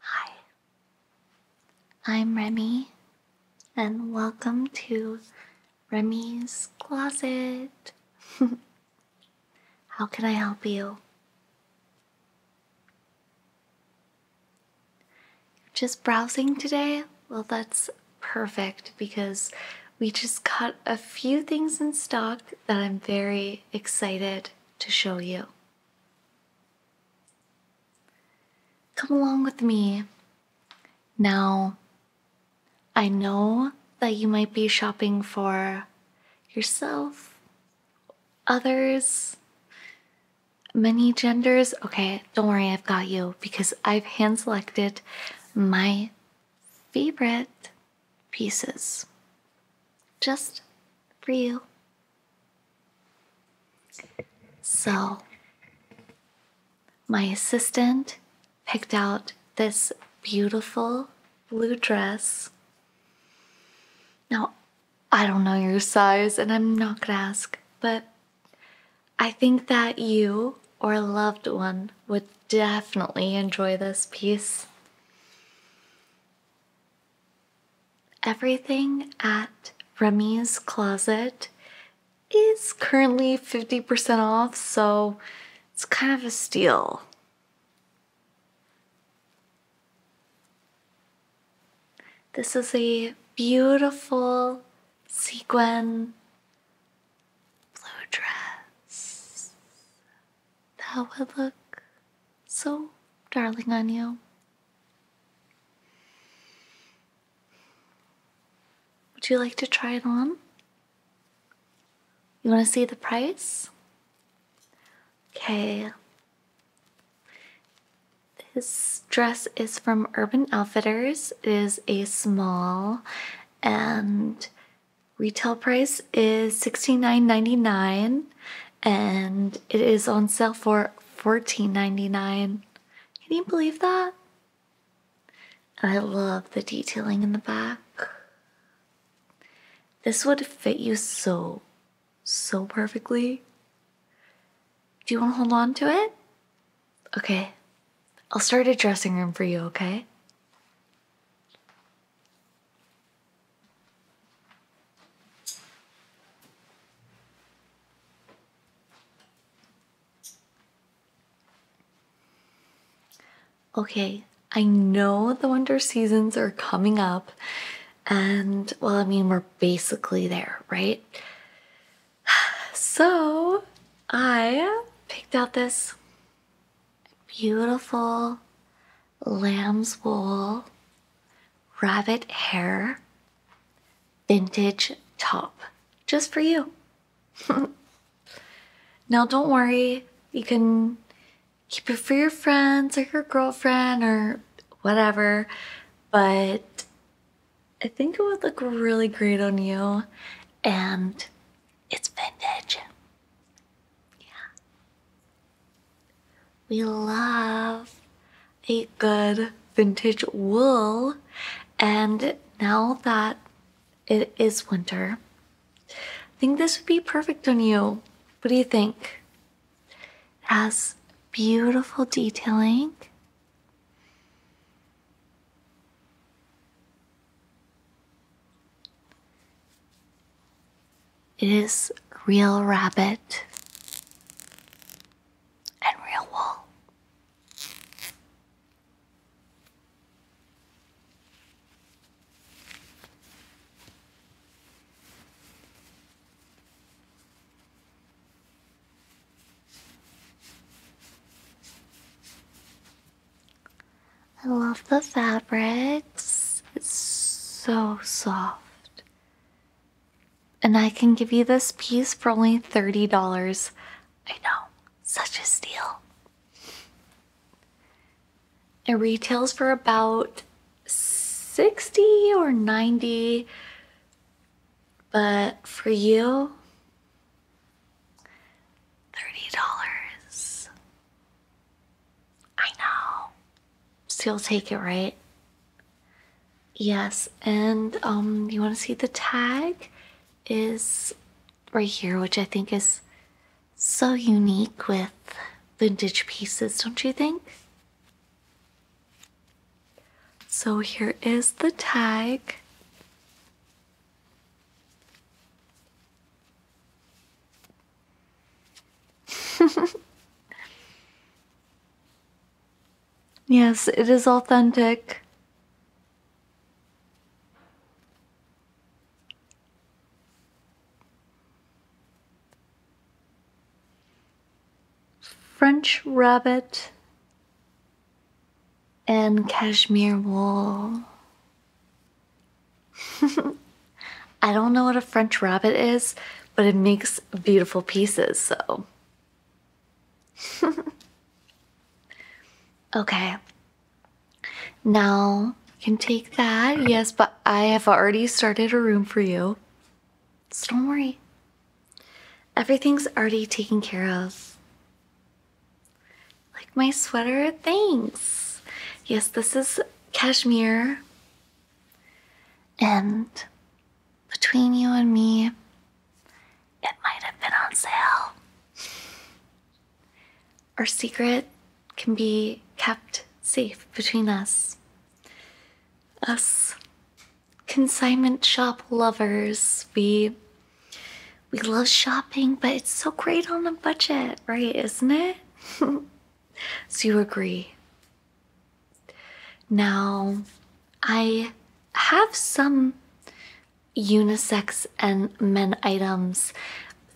Hi, I'm Remy, and welcome to Remy's Closet. How can I help you? Just browsing today? Well, that's perfect because we just got a few things in stock that I'm very excited to show you. Come along with me. Now, I know that you might be shopping for yourself, others, many genders. Okay, don't worry, I've got you because I've hand selected my favorite pieces just for you. So, my assistant picked out this beautiful blue dress. Now, I don't know your size and I'm not gonna ask, but I think that you or a loved one would definitely enjoy this piece. Everything at Remy's Closet is currently 50% off, so it's kind of a steal. This is a beautiful sequin blue dress that would look so darling on you. Would you like to try it on? You want to see the price? Okay. This dress is from Urban Outfitters. It is a small and retail price is $69.99 and it is on sale for $14.99. Can you believe that? I love the detailing in the back. This would fit you so, so perfectly. Do you want to hold on to it? Okay. I'll start a dressing room for you, okay? Okay, I know the winter seasons are coming up, and well, I mean, we're basically there, right? So, I picked out this beautiful lamb's wool, rabbit hair, vintage top, just for you. now, don't worry, you can keep it for your friends or your girlfriend or whatever, but I think it would look really great on you, and it's vintage. Yeah. We love a good vintage wool, and now that it is winter, I think this would be perfect on you. What do you think? has beautiful detailing. It is real rabbit and real wool. I love the fabrics. It's so soft and I can give you this piece for only $30. I know, such a steal. It retails for about 60 or 90, but for you, $30. I know. Still take it, right? Yes, and um, you want to see the tag is right here, which I think is so unique with vintage pieces, don't you think? So here is the tag. yes, it is authentic. French rabbit and cashmere wool. I don't know what a French rabbit is, but it makes beautiful pieces, so. okay. Now you can take that. Yes, but I have already started a room for you. So don't worry. Everything's already taken care of. Like my sweater, thanks. Yes, this is cashmere. And between you and me, it might have been on sale. Our secret can be kept safe between us. Us consignment shop lovers, we we love shopping, but it's so great on a budget, right? Isn't it? so you agree now, I have some unisex and men items.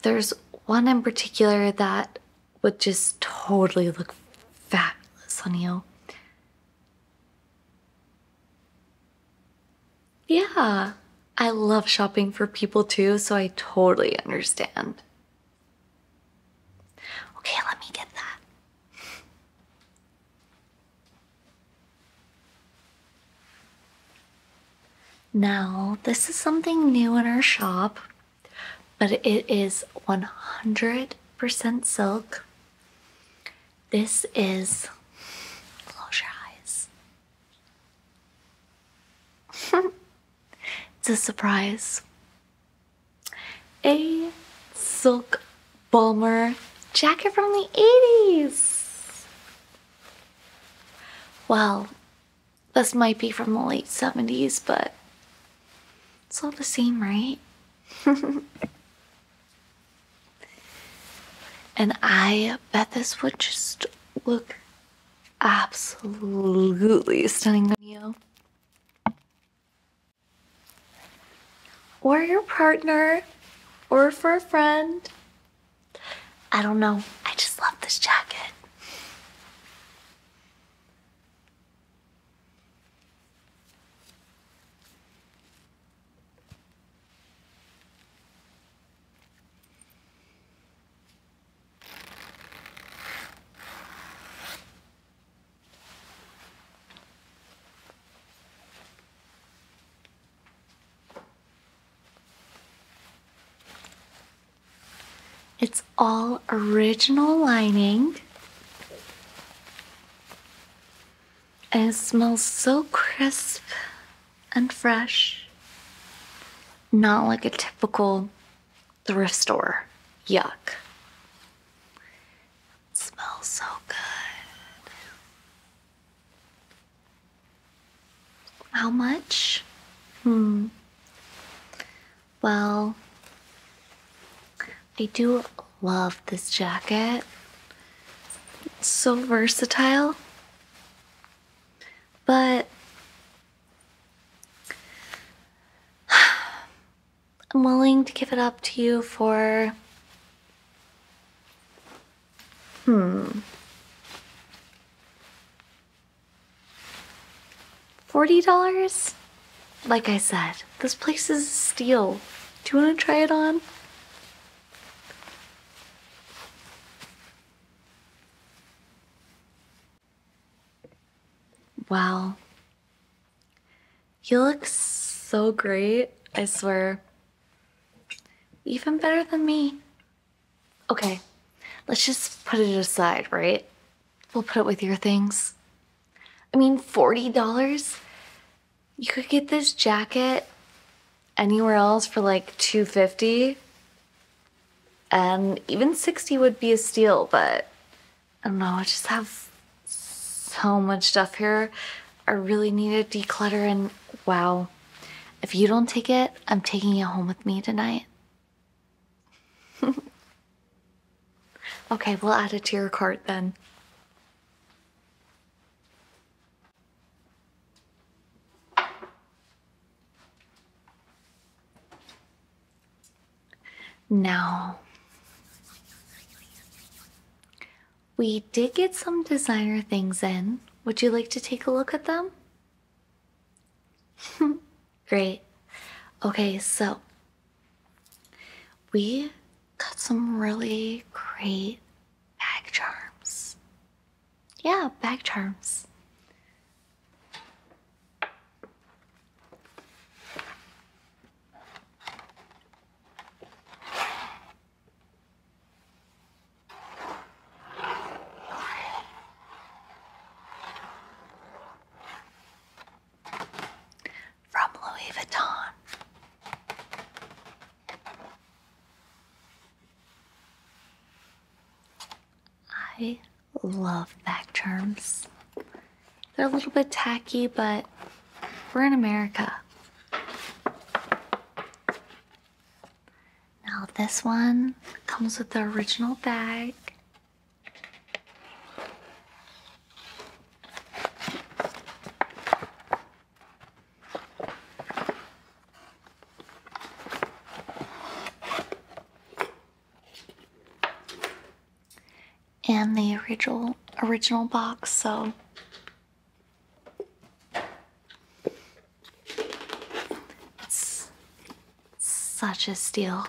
There's one in particular that would just totally look fabulous on you. Yeah, I love shopping for people too, so I totally understand. Okay, let me get that. Now, this is something new in our shop, but it is 100% silk. This is. Close your eyes. it's a surprise a silk bomber jacket from the 80s. Well, this might be from the late 70s, but it's all the same, right? and I bet this would just look absolutely stunning on you or your partner or for a friend. I don't know. I just love this jacket. It's all original lining. And it smells so crisp and fresh. Not like a typical thrift store. Yuck. smells so good. How much? Hmm. Well, I do love this jacket. so versatile. But I'm willing to give it up to you for. Hmm. $40? Like I said, this place is a steal. Do you want to try it on? Well. You look so great, I swear. Even better than me. Okay, let's just put it aside, right? We'll put it with your things. I mean, $40? You could get this jacket anywhere else for like 250 and even 60 would be a steal, but I don't know, I just have so much stuff here. I really need to declutter and wow. If you don't take it, I'm taking it home with me tonight. okay, we'll add it to your cart then. Now, we did get some designer things in. Would you like to take a look at them? Great. Okay, so we got some really great bag charms. Yeah, bag charms. From Louis Vuitton. I love back terms. They're a little bit tacky, but we're in America. Now, this one comes with the original bag and the original original box, so it's such a steal.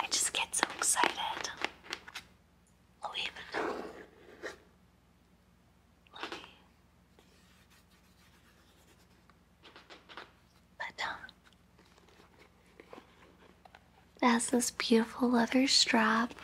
I just get so excited. Oh, even let It um, has this beautiful leather strap.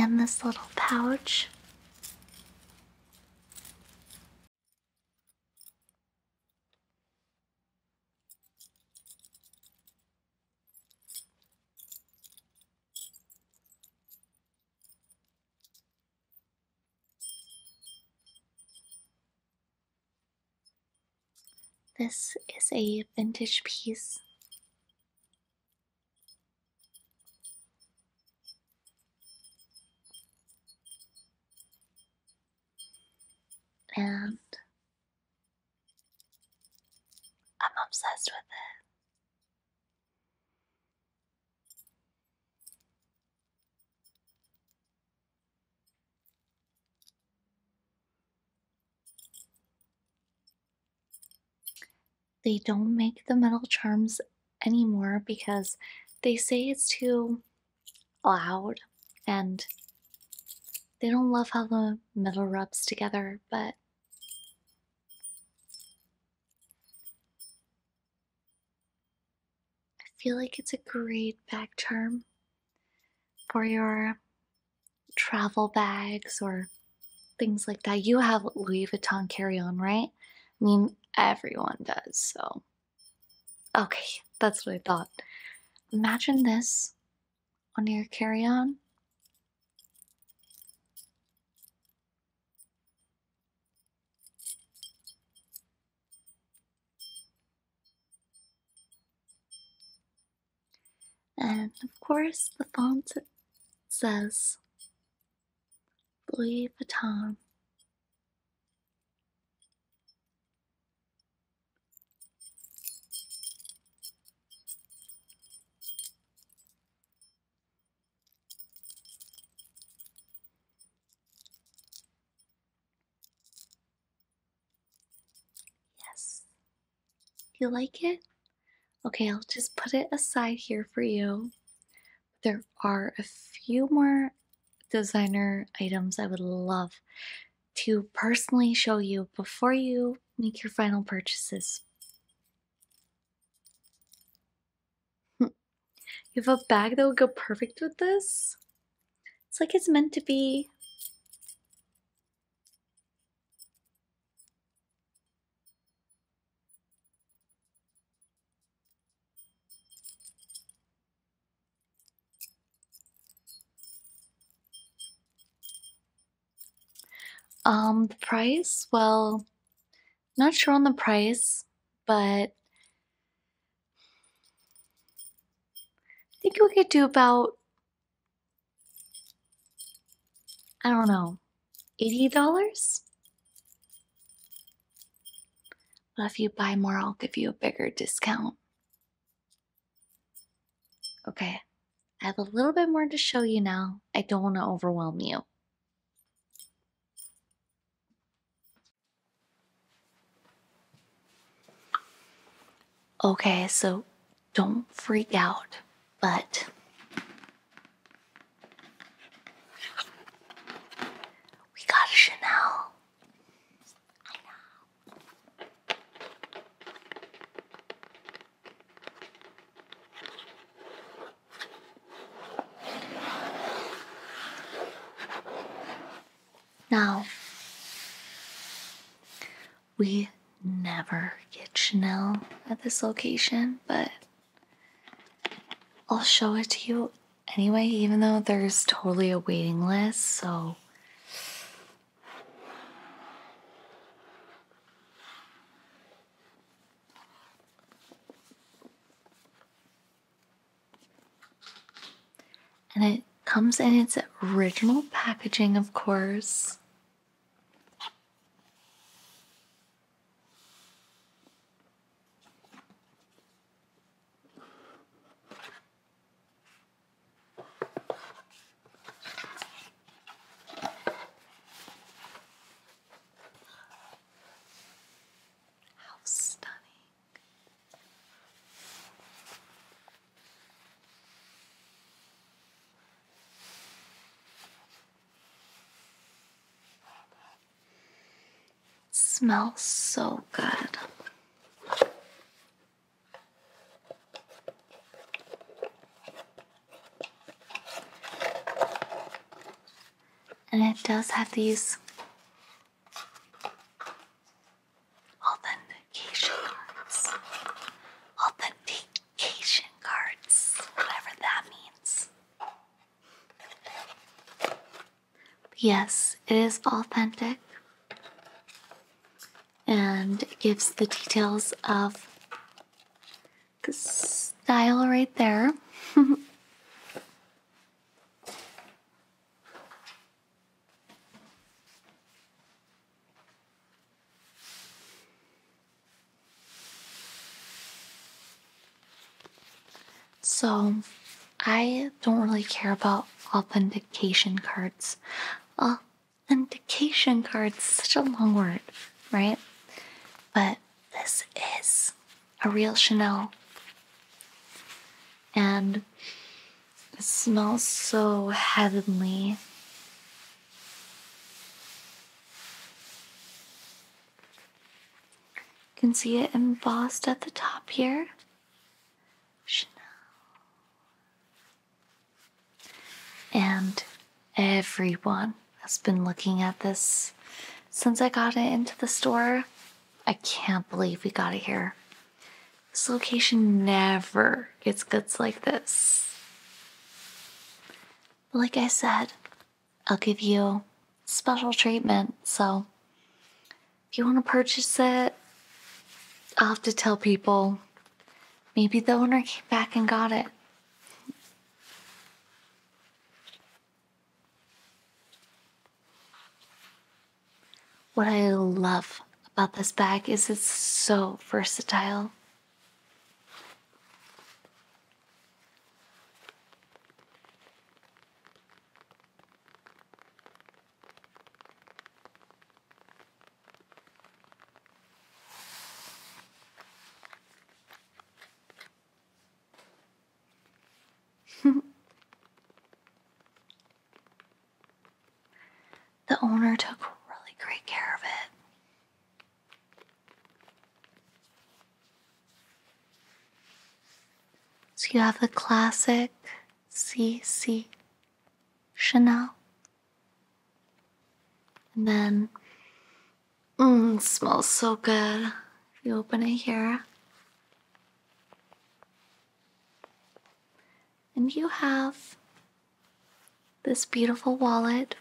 And this little pouch this is a vintage piece and I'm obsessed with it. They don't make the metal charms anymore because they say it's too loud and they don't love how the metal rubs together, but I feel like it's a great bag charm for your travel bags or things like that. You have Louis Vuitton carry on, right? I mean, everyone does, so. Okay, that's what I thought. Imagine this on your carry on. And of course, the font says Louis Vuitton Yes. You like it? Okay, I'll just put it aside here for you. There are a few more designer items I would love to personally show you before you make your final purchases. you have a bag that would go perfect with this? It's like it's meant to be. Um, the price? Well, not sure on the price, but I think we could do about, I don't know, $80? But if you buy more, I'll give you a bigger discount. Okay, I have a little bit more to show you now. I don't want to overwhelm you. Okay, so don't freak out, but we got a Chanel. Now, we never get Chanel at this location, but I'll show it to you anyway, even though there's totally a waiting list, so and it comes in its original packaging, of course. How stunning. smells so good. And it does have these authentication cards. Authentication cards, whatever that means. yes, it is authentic and it gives the details of the style right there. so, I don't really care about authentication cards. Uh, Authentication card, such a long word, right? But this is a real Chanel. And it smells so heavenly. You can see it embossed at the top here. Chanel. And everyone has been looking at this since I got it into the store. I can't believe we got it here. This location never gets goods like this. like I said, I'll give you special treatment, so if you want to purchase it, I'll have to tell people Maybe the owner came back and got it. What I love about this bag is it's so versatile. the owner took really great care of it. So you have the classic CC Chanel and then, mm, smells so good. you open it here. And you have this beautiful wallet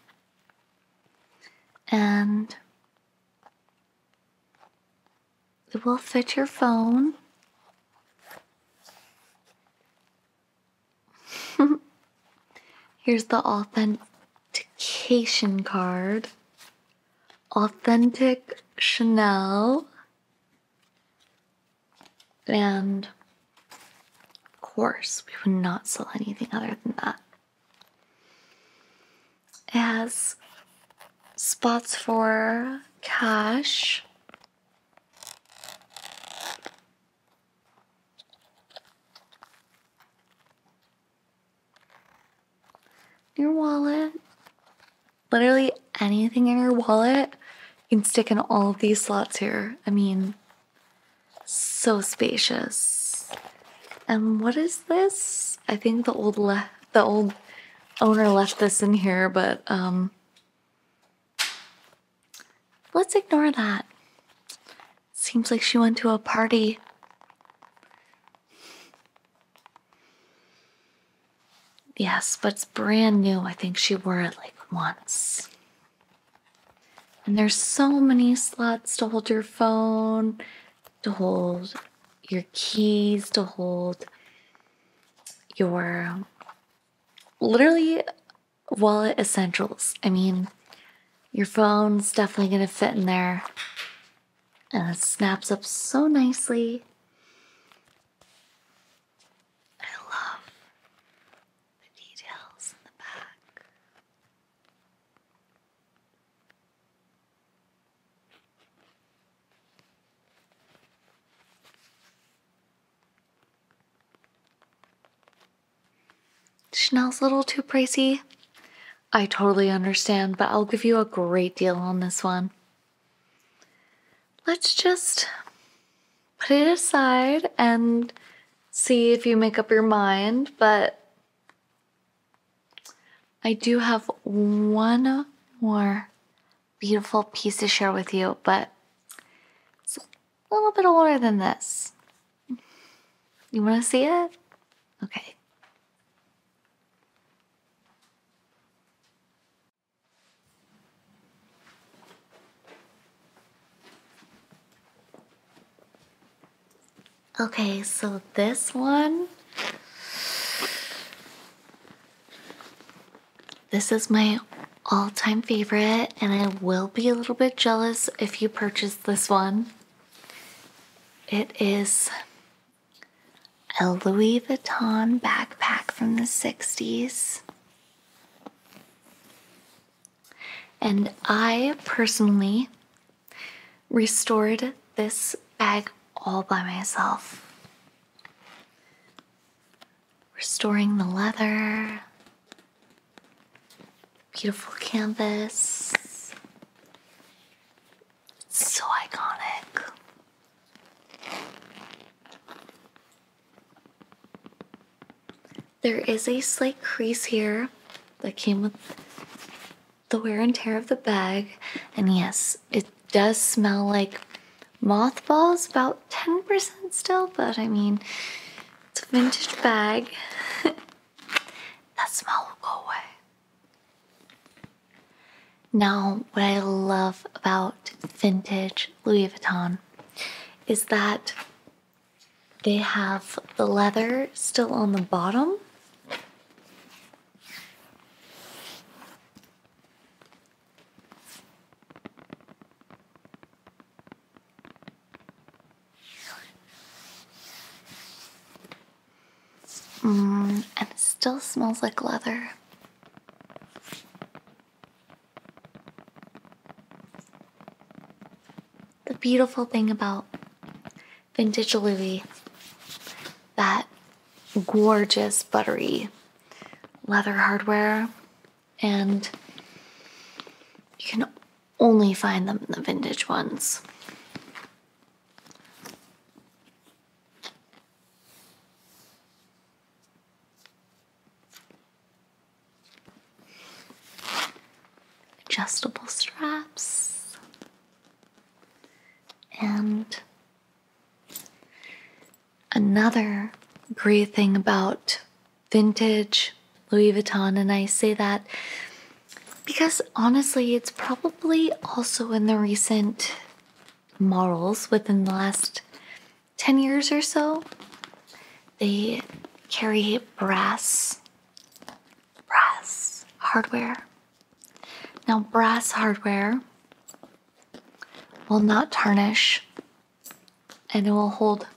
and it will fit your phone Here's the authentication card. Authentic Chanel and of course we would not sell anything other than that. It has spots for cash your wallet. Literally anything in your wallet, you can stick in all of these slots here. I mean, so spacious. And what is this? I think the old the old owner left this in here, but um Let's ignore that. Seems like she went to a party. Yes, but it's brand new. I think she wore it like once. And there's so many slots to hold your phone, to hold your keys, to hold your literally wallet essentials. I mean, your phone's definitely going to fit in there. And it snaps up so nicely. I love the details in the back. Chanel's a little too pricey. I totally understand, but I'll give you a great deal on this one. Let's just put it aside and see if you make up your mind, but I do have one more beautiful piece to share with you, but a little bit older than this. You want to see it? Okay. Okay, so this one this is my all time favorite, and I will be a little bit jealous if you purchase this one. It is a Louis Vuitton backpack from the 60s. And I personally restored this bag all by myself restoring the leather, beautiful canvas. It's so iconic. There is a slight crease here that came with the wear and tear of the bag. And yes, it does smell like mothballs, about 10% still, but I mean, it's a vintage bag. that smell will go away. Now, what I love about vintage Louis Vuitton is that they have the leather still on the bottom. Mm, and it still smells like leather. The beautiful thing about vintage Louis, that gorgeous buttery leather hardware and you can only find them in the vintage ones. Adjustable straps and another great thing about vintage Louis Vuitton. And I say that because honestly, it's probably also in the recent morals within the last 10 years or so. They carry brass, brass hardware. Now, brass hardware will not tarnish and it will hold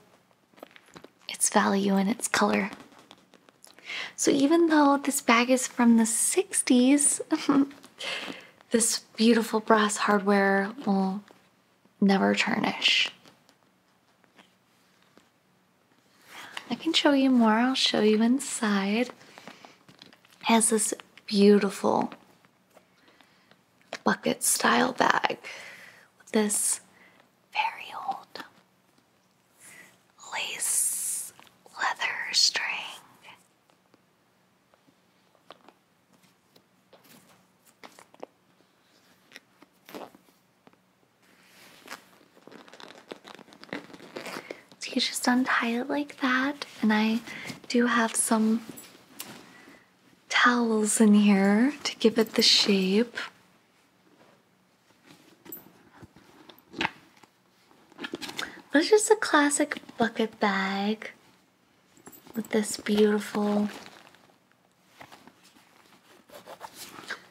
its value and its color. So, even though this bag is from the 60s, this beautiful brass hardware will never tarnish. I can show you more, I'll show you inside. It has this beautiful bucket style bag with this very old lace leather string. So you just untie it like that, and I do have some towels in here to give it the shape. But it's just a classic bucket bag with this beautiful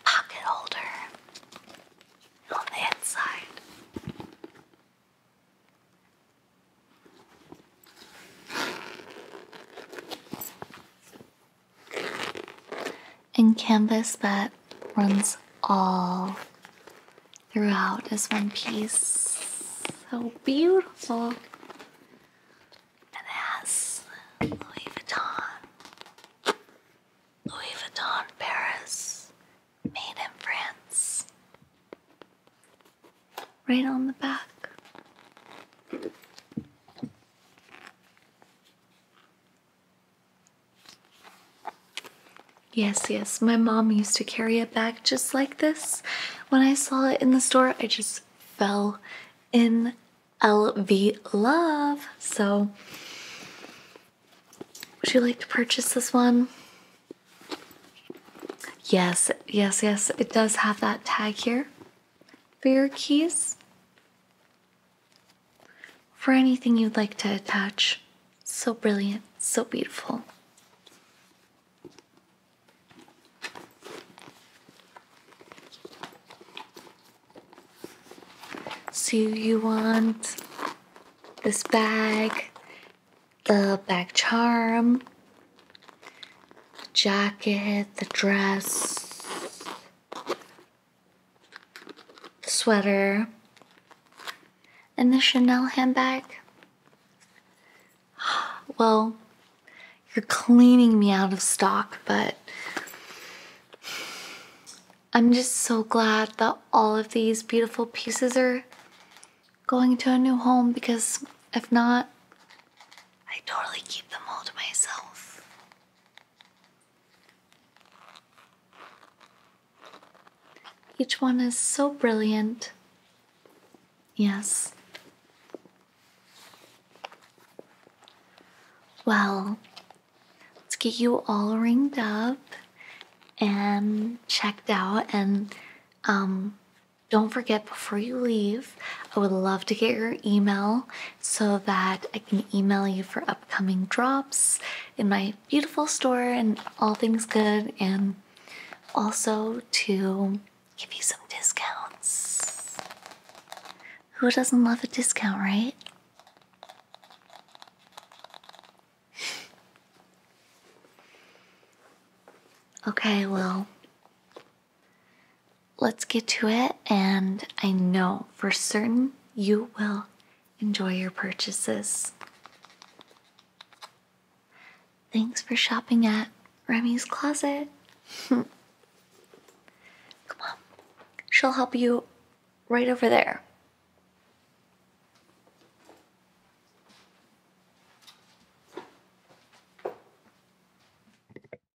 pocket holder on the inside. And canvas that runs all throughout as one piece. So beautiful. And it has Louis Vuitton. Louis Vuitton Paris. Made in France. Right on the back. Yes, yes, my mom used to carry a bag just like this. When I saw it in the store, I just fell in LV love. So, would you like to purchase this one? Yes, yes, yes, it does have that tag here for your keys, for anything you'd like to attach. So brilliant, so beautiful. So you want this bag, the bag charm, the jacket, the dress, the sweater, and the Chanel handbag. Well, you're cleaning me out of stock, but I'm just so glad that all of these beautiful pieces are going to a new home because if not, I totally keep them all to myself. Each one is so brilliant. Yes. Well, let's get you all ringed up and checked out. And um, don't forget before you leave, I would love to get your email so that I can email you for upcoming drops in my beautiful store and all things good, and also to give you some discounts. Who doesn't love a discount, right? Okay, well, Let's get to it, and I know for certain you will enjoy your purchases. Thanks for shopping at Remy's Closet. Come on, she'll help you right over there.